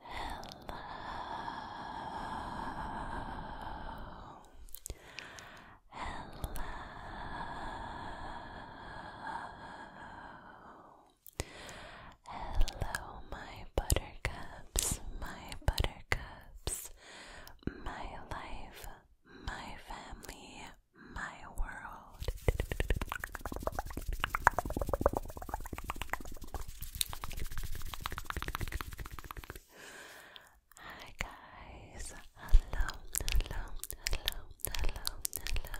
Hello. Hello. Hello, my buttercups, my buttercups, my life, my family, my world. Hi guys, hello, hello, hello, hello, hello.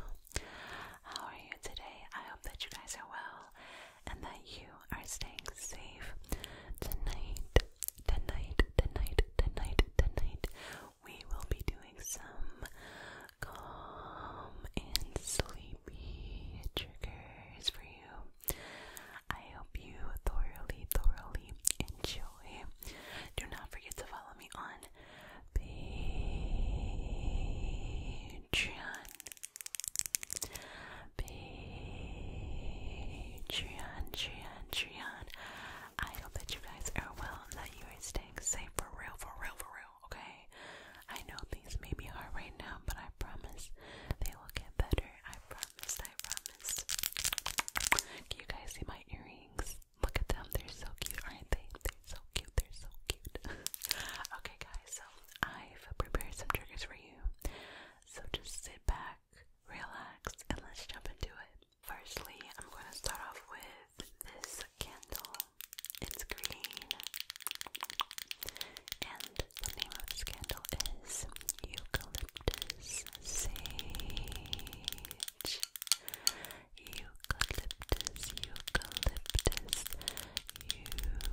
How are you today? I hope that you guys are well and that you are staying safe. Tonight, tonight, tonight, tonight, tonight, we will be doing some calm and sleepy triggers for you. I hope you thoroughly, thoroughly enjoy. Do not forget to follow me on Patreon. Patreon, Patreon, Patreon. I hope that you guys are well, that you are staying safe for real, for real, for real okay? I know things may be hard right now, but I promise they will get better. I promise, I promise. Can you guys see my earrings? Look at them, they're so cute, aren't they? They're so cute, they're so cute. okay, guys, so I've prepared some triggers for you. So just sit back, relax, and let's jump into it. Firstly, I'm going to start off with with this candle. It's green. And the name of this candle is Eucalyptus Sage. Eucalyptus, eucalyptus, eucalyptus, and sage.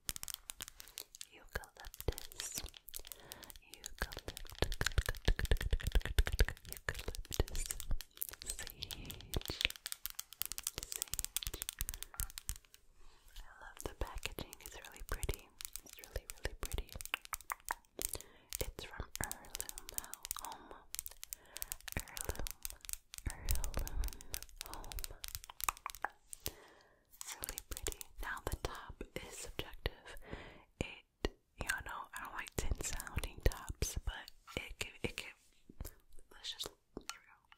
eucalyptus, eucalyptus, eucalyptus, sage, sage. I love the packaging, it's really pretty. It's really, really pretty. It's from Heirloom Home. Heirloom, Heirloom Home really pretty. Now the top is subjective. It, y'all know, I don't like tin sounding tops, but it can, it can. Let's just. Here we go.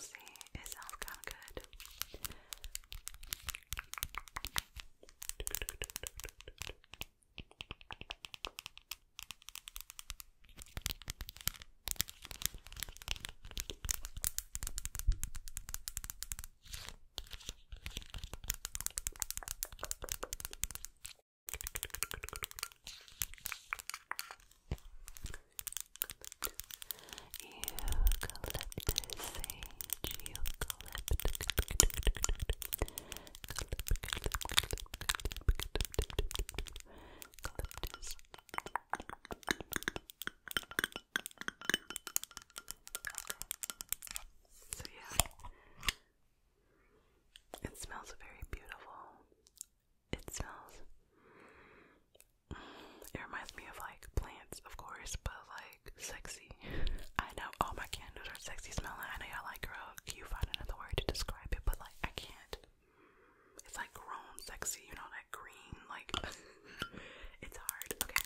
See, it sounds kind of good. So yeah, it smells very beautiful it smells. Mm, it reminds me of like plants, of course, but like sexy. I know all my candles are sexy smelling. I know you like, girl, can you find another word to describe it? But like, I can't. It's like grown sexy, you know, that green, like, it's hard. Okay.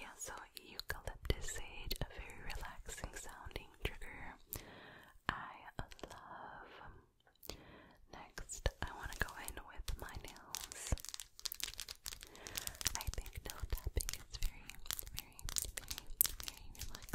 Yeah, so eucalyptus sage, a very relaxing sounding trigger. I love. Next, I want to go in with my nails. I think nail tapping is very, very, very, very relaxing.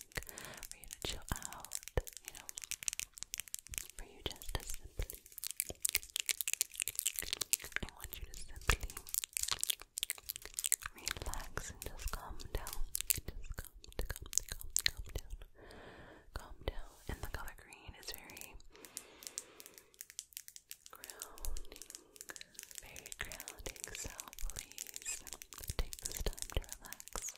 drink, for you to chill out, you know, for you just to simply. I want you to simply relax and just calm down. calm, calm, calm, down. Calm down. And the color green is very grounding, very grounding. So please take this time to relax.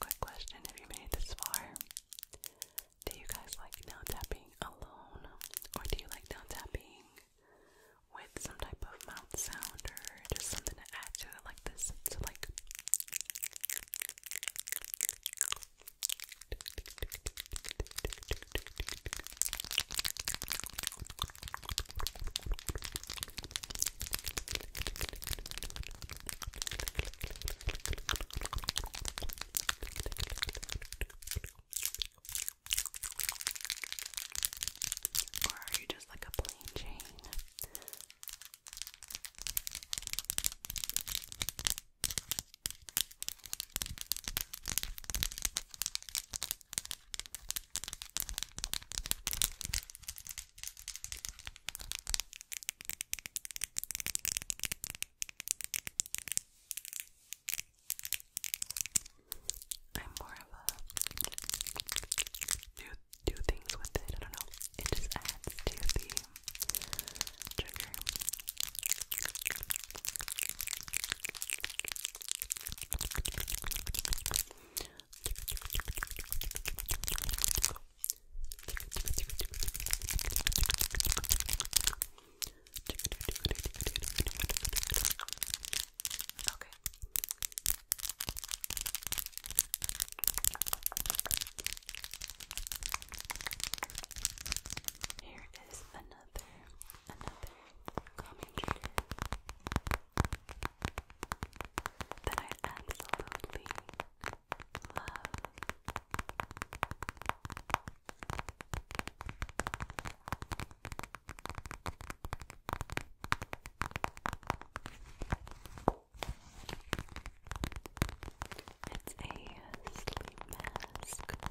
Quick question if you made it this far. Do you guys like nail tapping alone? Or do you like nail tapping with some type of mouth sound or just something to add to it like this? So like or are you just like a plain chain? I'm more of a do do things with it. I don't know. It just adds to the trigger. Okay. Here is another, another calming that I absolutely it's a sleep mask. Sleep mask.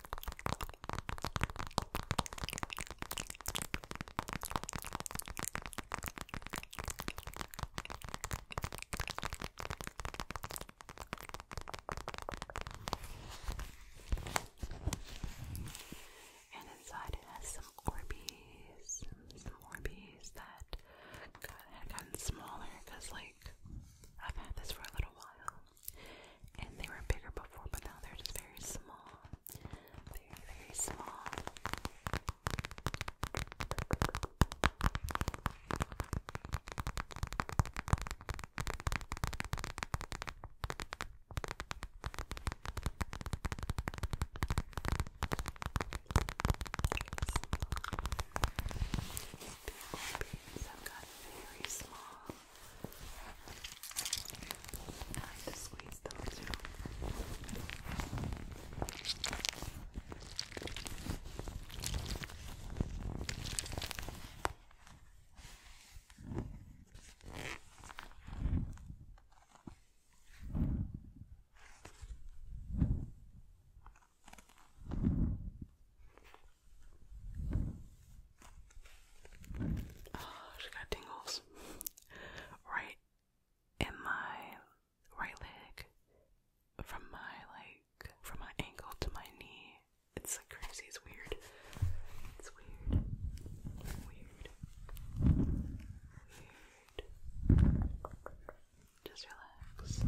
And inside it has some Orbeez, some Orbeez that got, had gotten smaller because, like, I've had this for a little while. And they were bigger before, but now they're just very small. Very, very small. I like to squeeze them too. I Oh, she got tingles. Right in my right leg. From my like from my ankle to my knee. It's like crazy, it's weird. It's weird. Weird. Weird. Just relax.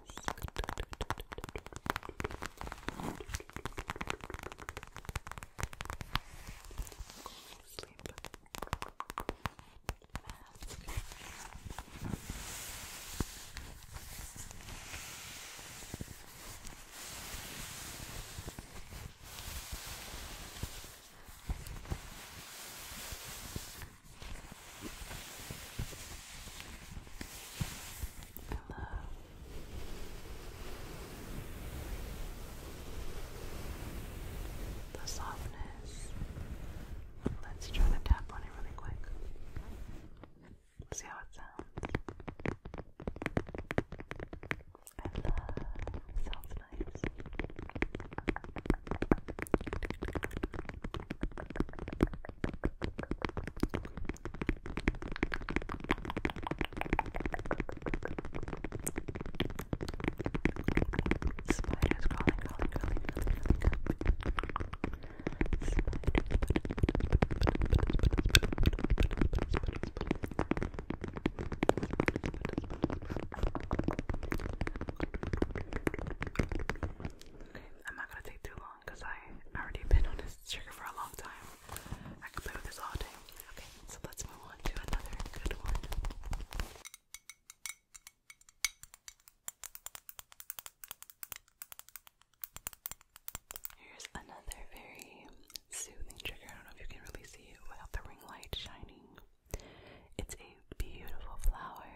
mask. Sleep mask. The softness. Let's try to tap on it really quick. See how it sounds. I love sounds Spiders crawling, crawling, crawling, crawling, I'm not gonna take too long because I've already been on this trigger for a long time. I could play with this all day. Okay, so let's move on to another good one. Here's another very soothing trigger. I don't know if you can really see it without the ring light shining. It's a beautiful flower,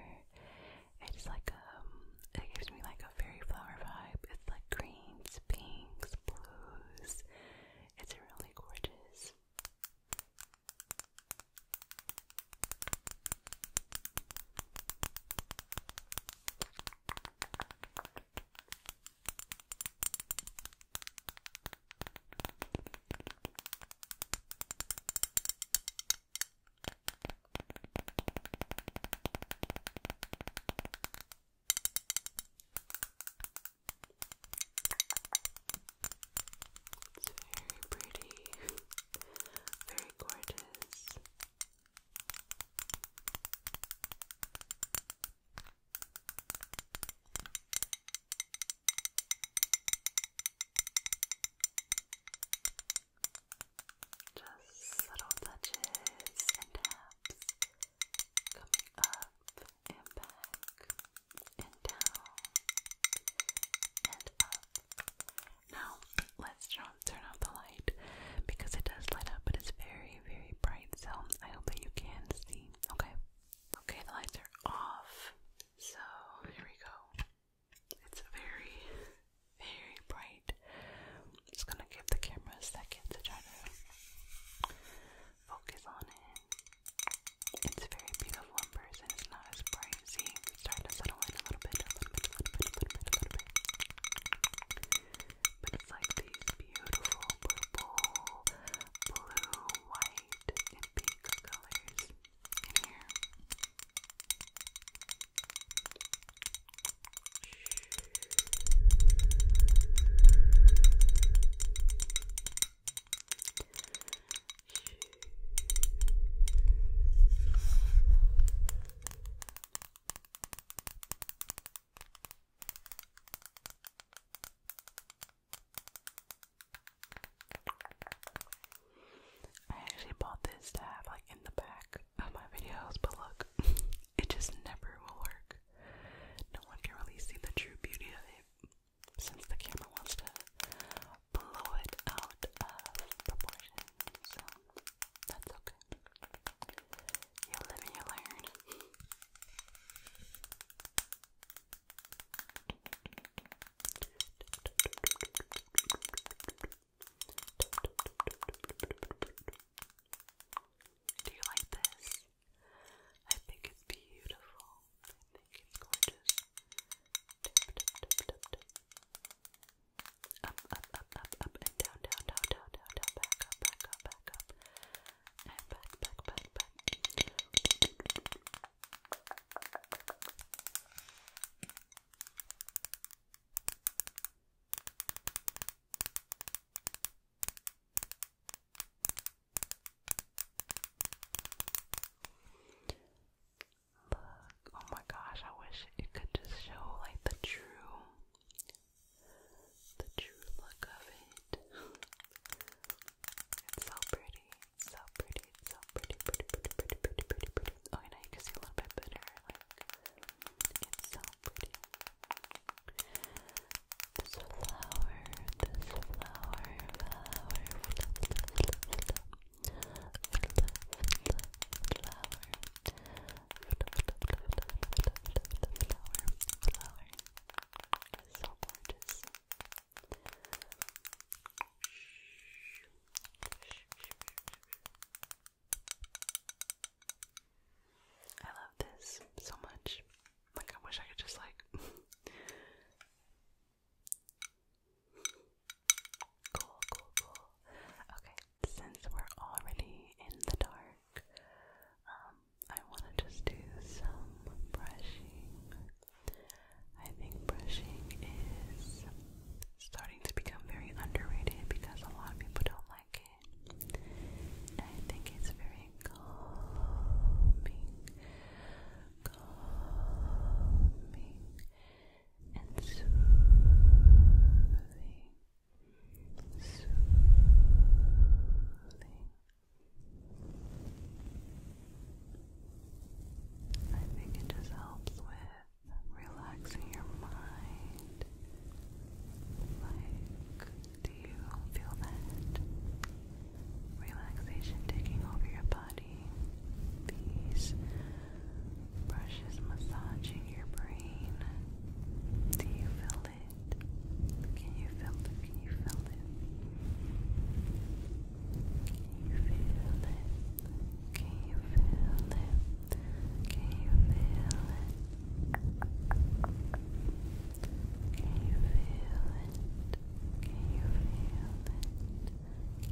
it's like um, it gives me like a fairy flower vibe. It's like greens, pinks, blues. It's really gorgeous. It's very pretty, very gorgeous. Just subtle touches and taps coming up and back and down and up. Now, let's turn off the light because it does light up, but it's very, very bright, so I hope that you can see. Okay? Okay, the lights are off. So, here we go. It's very, very bright. just gonna give the camera a second to try to focus on it. It's very beautiful in person, it's not as bright. See, it's starting to settle in a little bit. But it's like these beautiful purple, blue, white, and pink colors in here. I actually bought this to have like in the back of my videos, but look, it just never will work. No one can really see the true beauty of it since the camera wants to blow it out of proportion. So that's okay. You live you learn. Do you like this? I think it's beautiful. I think it's gorgeous. Up, up, up, up, up, and down, down, down, down, down, back up, back up, back up, and back, back, back, back. Look, oh my gosh, I wish it could just show like the true the true look of it. it's so pretty, it's so pretty pretty. so pretty, pretty, pretty, pretty, pretty, pretty, pretty. Okay, now you can see a little bit better. Like, it's so pretty. This flower, this flower, flower, so gorgeous. Shh. I love this so much. Like, I wish I could just, like, cool, cool, cool. Okay, since we're already in the dark, um, I want to just do some brushing. I think brushing is starting to become very underrated because a lot of people don't like it. I think it's very calming, calming, and soothing, soothing. I think it just helps with relaxing your mind. Like, do you feel that relaxation taking over your body? These brushes massaging your brain. Do you feel it? Can you feel it? Can you feel it? Can you feel it? Can you feel it? Can you feel it? Can you feel it? Can you feel it? Can you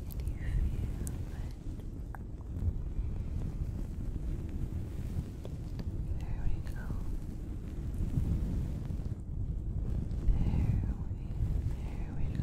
feel it? There we go. There we, there we go.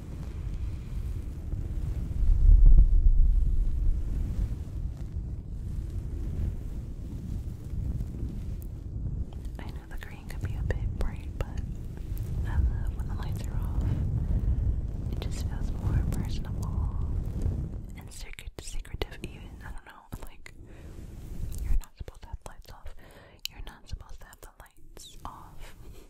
I know the green could be a bit bright, but I love when the lights are off. It just feels more personable and secret secretive even. I don't know, like you're not supposed to have lights off. You're not supposed to have the lights off.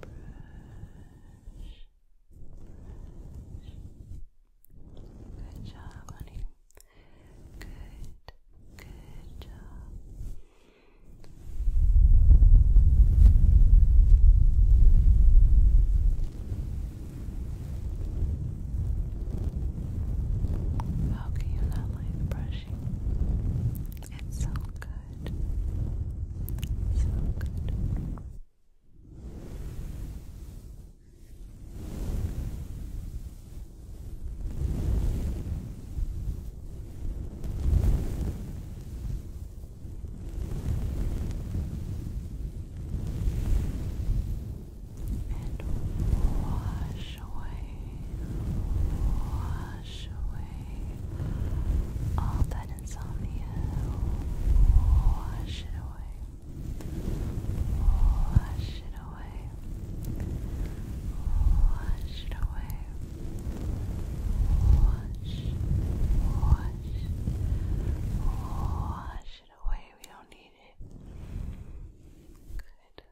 brush, Good job, honey. Good, good job. How can you not like brushing? It's so good good. So good. And wash away, wash away all that insomnia. Wash it away. Wash it away. Wash it away. Wash, wash, wash it away. We don't need it. Good.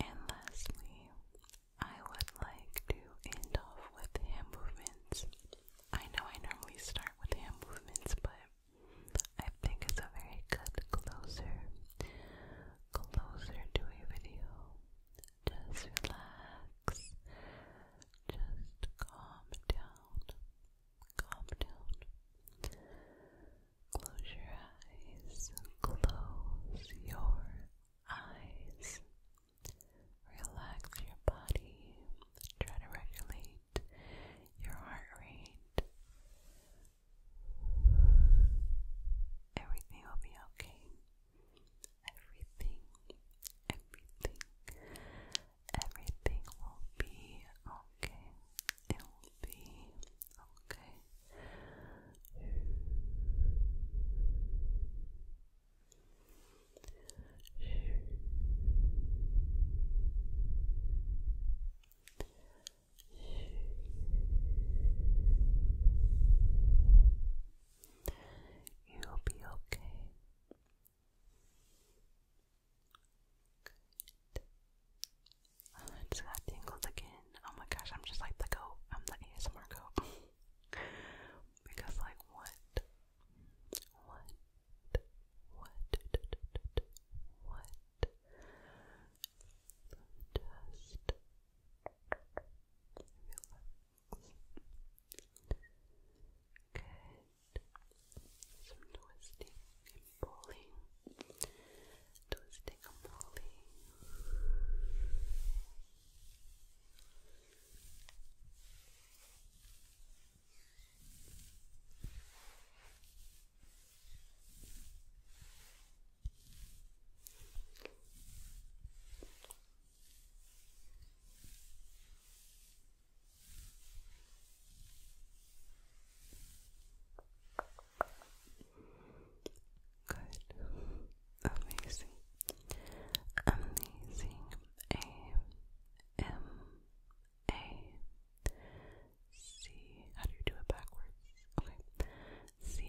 And lastly, I would like to end off with hand movements. I know I normally start with hand movements, but I think it's a very good closer, closer to a video just relax. Just calm down. Calm down. Close your eyes. Close your eyes. Relax your body. Try to regulate your heart rate. Everything will be okay everything, everything, everything will be okay. It will be okay. You'll be okay. I just got tingled again. Oh my gosh, I'm just like the goat. I'm the ASMR goat. because like what? What? What? What? Just Good. Some twisting and pulling. Twisting and pulling. Good. Amazing. Amazing. A M A C. How do you do it backwards? Okay. C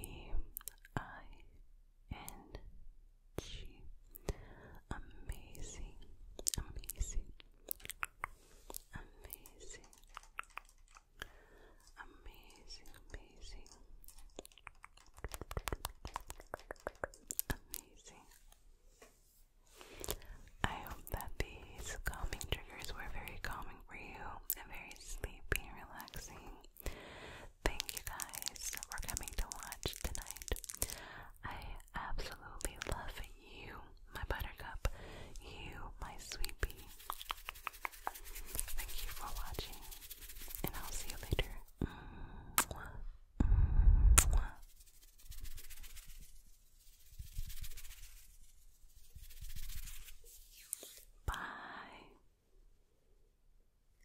I N amazing, amazing, amazing, amazing, amazing, amazing. I hope that these calming triggers were very calming for you and very sleepy relaxing. Thank you guys for coming to watch tonight. I absolutely love you, my buttercup. You, my sweetie. Thank you for watching, and I'll see you later. Bye.